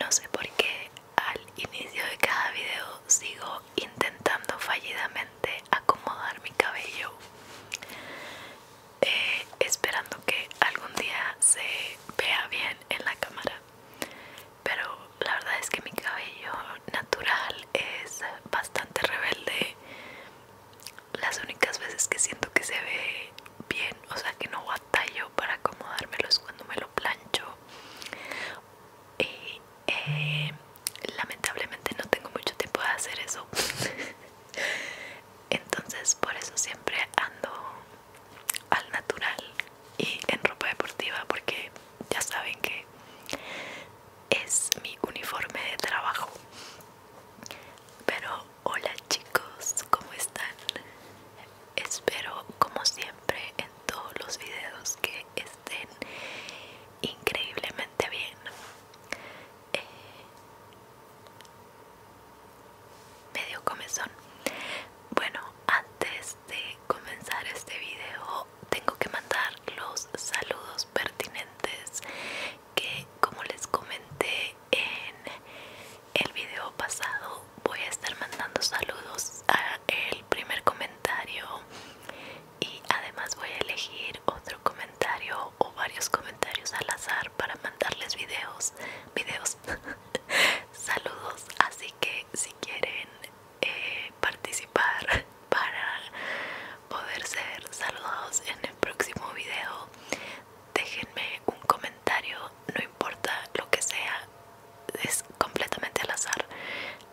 No sé por qué al inicio de cada video sigo intentando fallidamente acomodar mi cabello, eh, esperando que algún día se vea bien en la cámara pero la verdad es que mi cabello natural es bastante rebelde las únicas veces que siento que se ve bien o sea que no batallo para acomodármelo es cuando me lo plancho y eh, lamentablemente no tengo mucho tiempo de hacer eso entonces por eso siempre ando al natural y en ropa deportiva porque ya saben que es mi uniforme de trabajo. Pero hola chicos, ¿cómo están? Espero como siempre en todos los videos que estén increíblemente bien. Eh, medio comezón. Bueno, antes de comenzar este video tengo que mandar los saludos pertinentes que como les comenté en el video pasado voy a estar mandando saludos al primer comentario y además voy a elegir otro comentario o varios comentarios al azar para mandarles videos videos saludos así que si quieren eh, participar para poder ser saludados en el próximo video, déjenme un comentario, no importa lo que sea, es completamente al azar.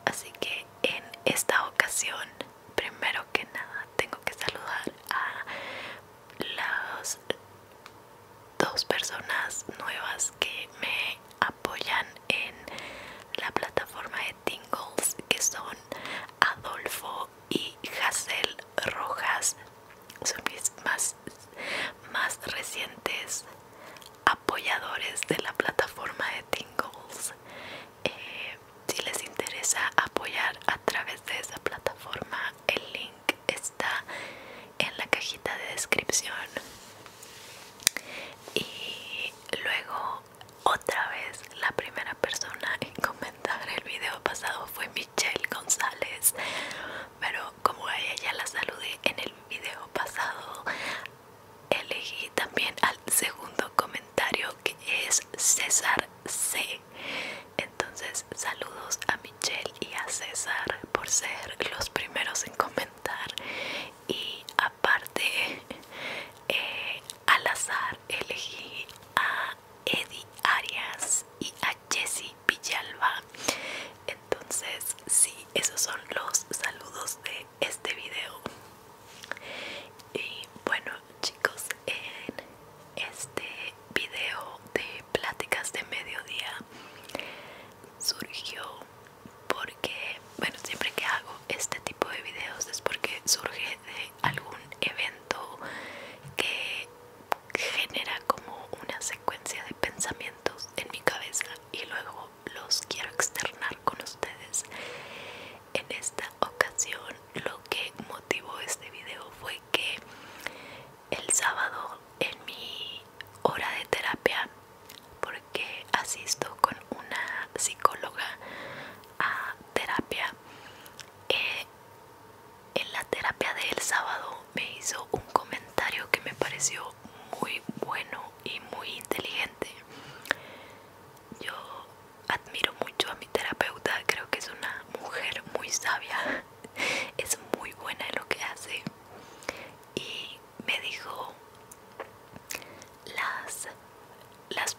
Así que en esta ocasión, primero que nada, tengo que saludar a los dos personas nuevas que me apoyan en la plataforma de Tingles que son Adolfo y Hazel Rojas son mis más, más recientes apoyadores de la plataforma de Tingles eh, si les interesa apoyar a través de esa plataforma el link es está en la cajita de descripción y luego otra vez la primera persona en comentar el video pasado fue Michelle González pero como ella ya la saludé en el video pasado elegí también al segundo comentario que es César C entonces saludos a y a César por ser los primeros en comentar y aparte eh, al azar elegí a Eddie Arias y a Jesse Villalba entonces sí esos son los saludos de este video y bueno chicos en este video de pláticas de mediodía surgió porque, bueno, siempre que hago este tipo de videos es porque surge de algún evento que genera como una secuencia de pensamientos en mi cabeza y luego los quiero externar con ustedes. En esta ocasión lo que motivó este video fue que el sábado en mi hora de terapia porque asisto con una psicóloga a terapia. Eh, en la terapia del sábado me hizo un comentario que me pareció muy bueno y muy inteligente. Yo admiro mucho a mi terapeuta, creo que es una mujer muy sabia, es muy buena en lo que hace y me dijo las las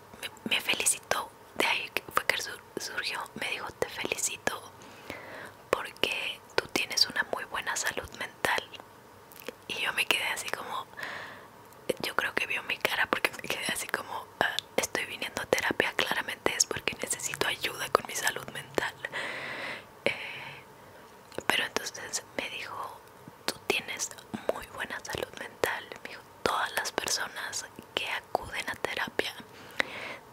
me, felicitó de ahí fue que surgió me dijo te felicito porque tú tienes una muy buena salud mental y yo me quedé así como yo creo que vio mi cara porque me quedé así como ah, estoy viniendo a terapia claramente es porque necesito ayuda con mi salud mental eh, pero entonces me dijo, tú tienes muy buena salud mental. Me dijo, todas las personas que acuden a terapia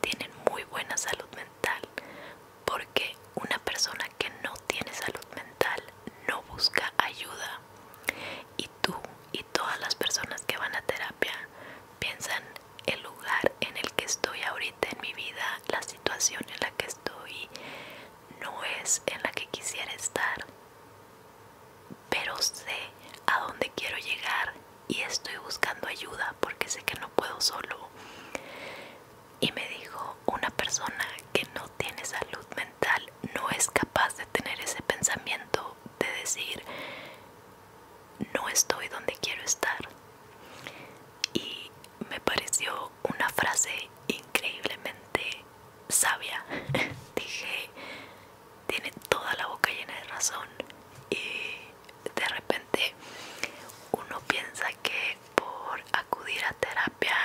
tienen muy buena salud mental. Porque una persona que no tiene salud mental no busca ayuda. Y tú y todas las personas que van a terapia piensan el lugar en el que estoy ahorita en mi vida la situación en la que estoy no es en la que quisiera estar, pero sé a dónde quiero llegar y estoy buscando ayuda porque sé que no puedo solo. Y me dijo, una persona que no tiene salud mental no es capaz de tener ese pensamiento de decir, no estoy donde quiero estar. Y me pareció una frase increíblemente sabia. Dije, tiene toda la boca llena de razón y de repente uno piensa que por acudir a terapia,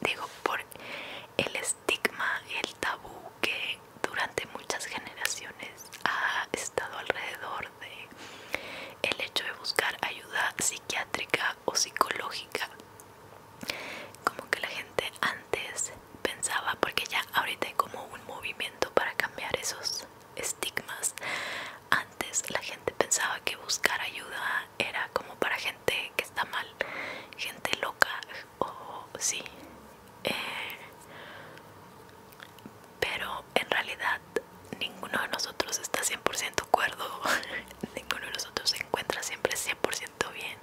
digo, por el estigma, el tabú que durante muchas generaciones ha estado alrededor de el hecho de buscar ayuda psiquiátrica o psicológica como que la gente antes pensaba porque ya ahorita hay como un movimiento para cambiar esos estigmas antes la gente pensaba que buscar ayuda era como para gente que está mal gente loca o sí eh, pero en realidad ninguno de nosotros está 100% cuerdo, ninguno de nosotros se encuentra siempre 100% bien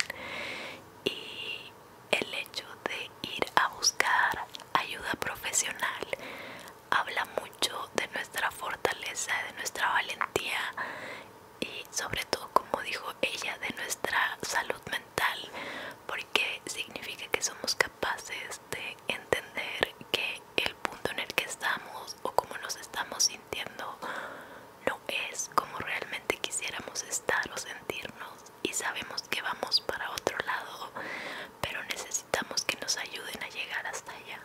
y el hecho de ir a buscar ayuda profesional habla mucho de nuestra fortaleza, de nuestra valentía y sobre todo como dijo ella de nuestra salud mental porque significa que somos capaces de entender que el punto en el que estamos o cómo nos estamos sintiendo no es como realmente quisiéramos estar o sentirnos y sabemos que vamos para otro lado, pero necesitamos que nos ayuden a llegar hasta allá.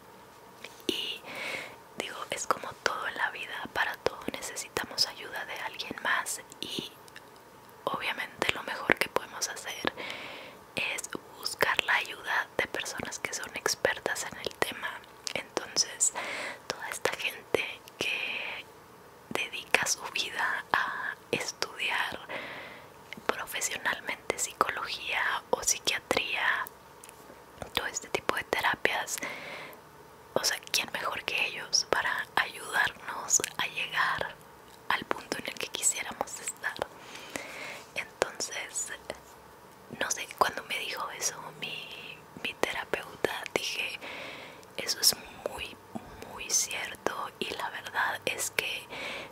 Y digo, es como todo en la vida, para todo necesitamos ayuda de alguien más y obviamente lo mejor que podemos hacer es buscar la ayuda de personas que son expertas en el tema. Entonces, toda esta gente que dedica su vida a estudiar profesionalmente psicología o psiquiatría, todo este tipo de terapias, o sea, ¿quién mejor que ellos para ayudarnos a llegar al punto en el que quisiéramos estar? entonces no sé cuando me dijo eso mi, terapeuta dije eso es muy muy cierto y la verdad es que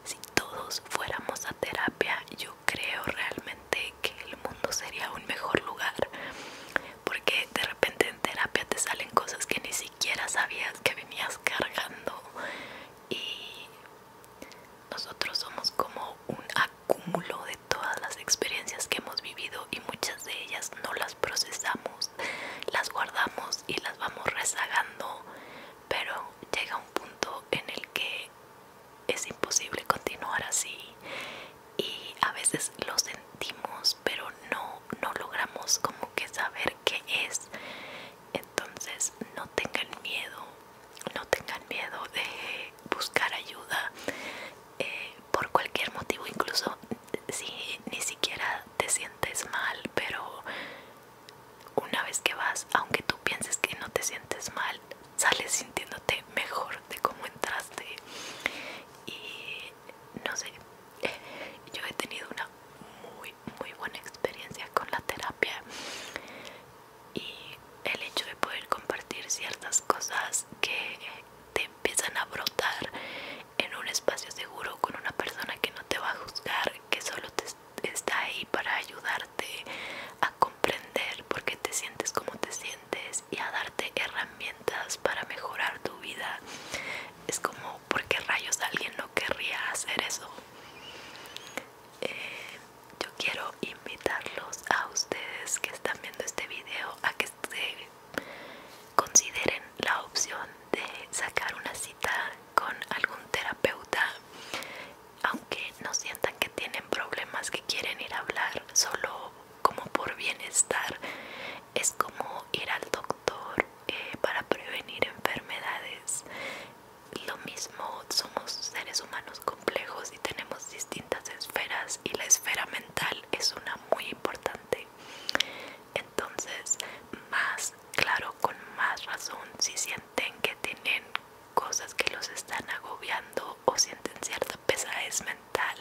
si todos fuéramos a terapia yo creo realmente que el mundo sería un mejor lugar porque de repente en terapia te salen cosas que ni siquiera sabías que venías cargando y nosotros somos como un acúmulo de todas las experiencias que hemos vivido y muchas de ellas no las procesamos, las guardamos y las vamos rezagando, pero llega un punto en el que es imposible continuar así y a veces lo sentimos pero no, no logramos como que saber qué es entonces no tengan miedo no tengan miedo de buscar ayuda eh, por cualquier motivo, incluso si ni siquiera te sientes mal, pero una vez que vas, aunque tú pienses que no te sientes mal, sales sintiéndote mejor de cómo entraste. Y no sé, yo he tenido una muy, muy buena experiencia con la terapia y el hecho de poder compartir ciertas cosas que eh, te empiezan a brotar en un espacio seguro con una persona que no te va a juzgar, que solo está ahí para ayudarte a comprender por qué te sientes como te sientes y a darte herramientas para mejorar tu vida. Es como, ¿por qué rayos alguien no querría hacer eso? Eh, yo quiero invitarlos a ustedes que están viendo este video a que consideren la opción de sacar una cita con algún terapeuta aunque no sientan que tienen problemas que quieren ir a hablar solo como por bienestar es como ir al doctor eh, para prevenir enfermedades lo mismo somos seres humanos complejos y tenemos distintas esferas y la esfera mental es una muy importante entonces más claro con más razón si sienten que tienen cosas que los están agobiando o sienten cierta pesadez mental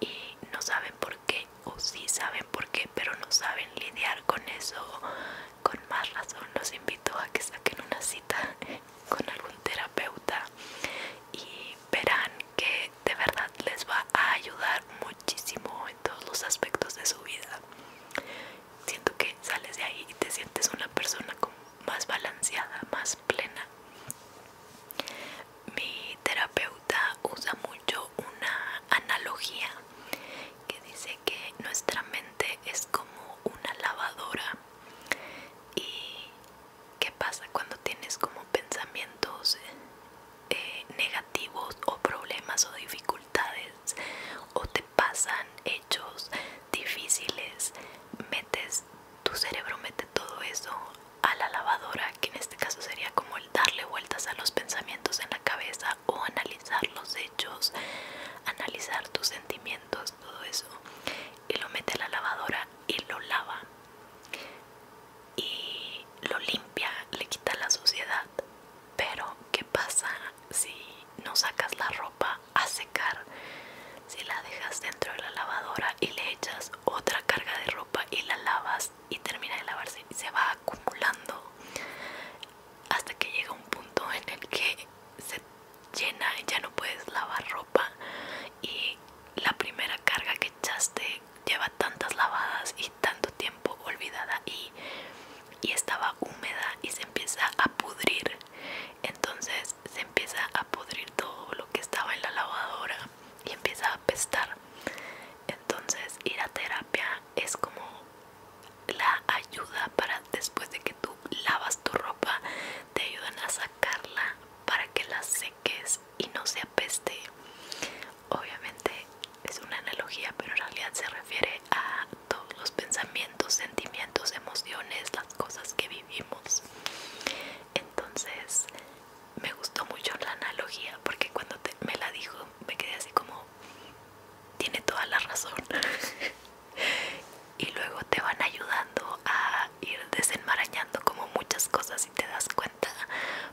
y no saben por qué o sí saben por qué pero no saben lidiar con eso con más razón los invito a que saquen una cita con algún terapeuta y verán que de verdad les va a ayudar muchísimo en todos los aspectos de su vida. Siento que sales de ahí y te sientes una persona más balanceada, más plena. Mi terapeuta usa mucho una analogía que dice que nuestra mente es como una lavadora y qué pasa cuando tienes como pensamientos eh, negativos o problemas o dificultades o te pasan hechos difíciles metes tu cerebro mete todo eso a la lavadora que en este caso sería como el darle vueltas a los pensamientos en la cabeza o analizar los hechos analizar tus sentimientos todo eso, y lo mete a la lavadora y lo lava y lo limpia, le quita la suciedad. Pero, ¿qué pasa si no sacas la ropa a secar? Si la dejas dentro de la lavadora y le echas otra carga de ropa y la lavas y termina de lavarse y se va acumulando hasta que llega un punto en el que se llena, ya no puedes lavar ropa y la primera carga que echaste lleva tantas lavadas y tanto tiempo olvidada y, y estaba húmeda y se empieza a pudrir. Entonces se empieza a pudrir todo lo que estaba en la lavadora y empieza a apestar. Entonces ir a terapia es como la ayuda para después de que tú lavas tu ropa te ayudan a sacarla para que la seques y no se apeste obviamente es una analogía pero en realidad se refiere a todos los pensamientos sentimientos emociones las cosas que vivimos entonces me gustó mucho la analogía porque cuando me la dijo me quedé así como tiene toda la razón y luego te van ayudando a ir desenmarañando como muchas cosas y te das cuenta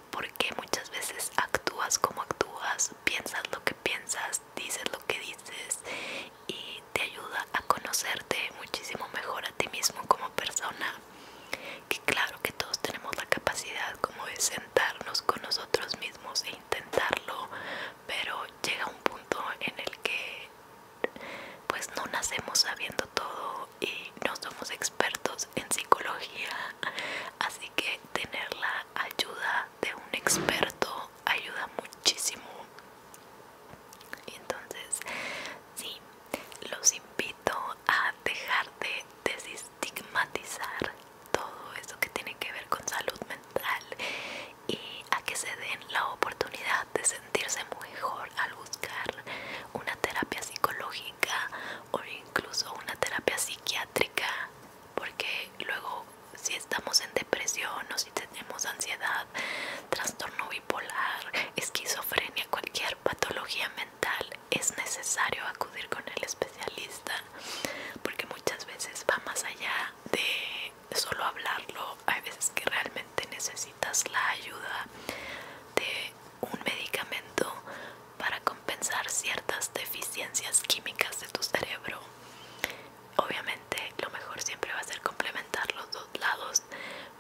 porque muchas veces actúas como actúas piensas lo que piensas dices lo que dices y te ayuda a conocerte muchísimo mejor a ti mismo como persona que claro que todos tenemos la capacidad como de sentarnos con nosotros mismos e intentarlo pero llega un punto en el que pues no nacemos sabiendo todo y no somos expertos en psicología así que tener la ayuda de un experto ayuda muchísimo entonces sí los invito a dejar de desestigmatizar todo eso que tiene que ver con salud mental y a que se den la oportunidad de sentirse mejor al buscar una terapia psicológica o incluso una terapia psiquiátrica porque luego si estamos en depresión o si tenemos ansiedad, trastorno bipolar, esquizofrenia, cualquier patología mental, es necesario acudir con el especialista porque muchas veces va más allá de solo hablarlo hay veces que realmente necesitas la ayuda de un medicamento para compensar ciertas deficiencias químicas de tu cerebro obviamente lo mejor siempre va a ser complementar los dos lados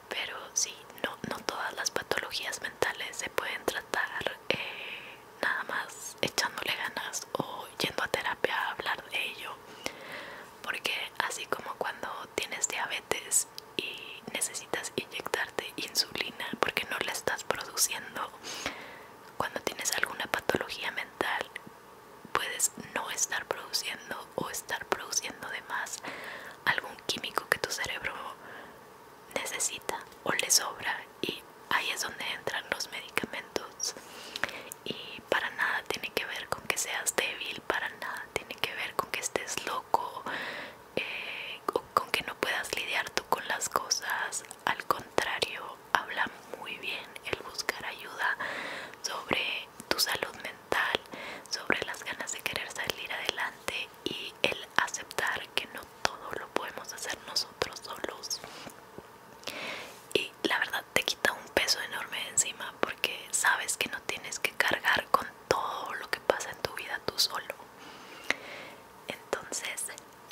pero sí no, todas las patologías mentales se pueden tratar eh, nada más echándole ganas o yendo a terapia a hablar de ello porque así como cuando tienes diabetes y necesitas inyectarte insulina porque no la estás produciendo, cuando tienes alguna patología mental puedes no estar produciendo o estar produciendo de más algún químico que tu cerebro necesita o le sobra y ahí es donde entran los medicamentos y para nada tiene que ver con que seas débil, para nada tiene que ver con que estés loco, eh, con que no puedas lidiar tú con las cosas. Al contrario, habla muy bien el buscar ayuda sobre tu salud mental, sobre las ganas de querer salir adelante y el aceptar que no todo lo podemos hacer nosotros solos. Y la verdad te quita un peso enorme encima porque sabes que no tienes que cargar con todo lo que pasa en tu vida tú solo. Entonces,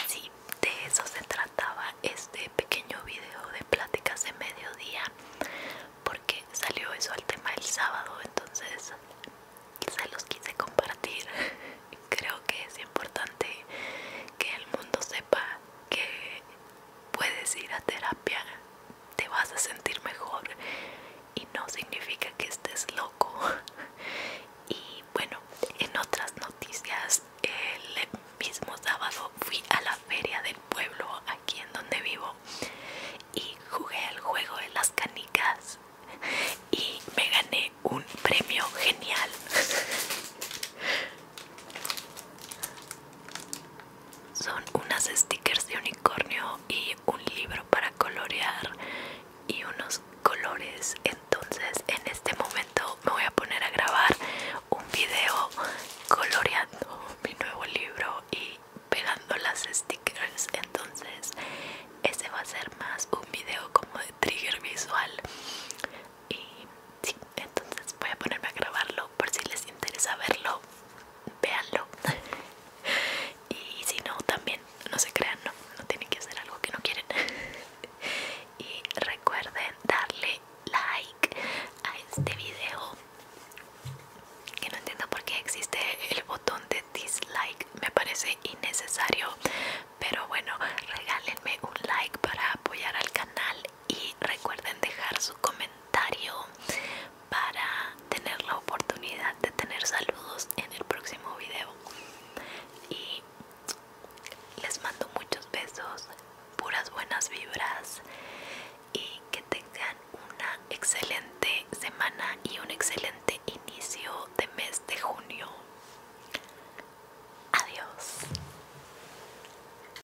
si, de eso se trataba este pequeño video de pláticas de mediodía porque salió eso al tema el sábado, entonces se los quise compartir. Creo que es importante que el mundo sepa que puedes ir a terapia, te vas a sentir mejor y no significa que estés loco. Y bueno, en otras noticias, el mismo sábado fui a la feria del pueblo aquí en donde vivo y jugué al juego de las canicas y me gané un premio genial. son unas stickers de unicornio y un libro para colorear y unos colores entonces en este momento me voy a poner a grabar un video coloreando mi nuevo libro y pegando las stickers entonces ese va a ser más un video como de trigger visual y entonces voy a ponerme a grabarlo por si les interesa verlo véanlo y si no también no se crean no, no tienen que hacer algo que no quieren y recuerden darle like a este video que no entiendo por qué existe el botón de dislike me parece innecesario pero bueno regálenme un like para apoyar al canal y recuerden dejar su comentario para tener la oportunidad de tener saludos en el próximo video y les mando muchos besos puras buenas vibras y que tengan una excelente semana y un excelente inicio de mes de junio adiós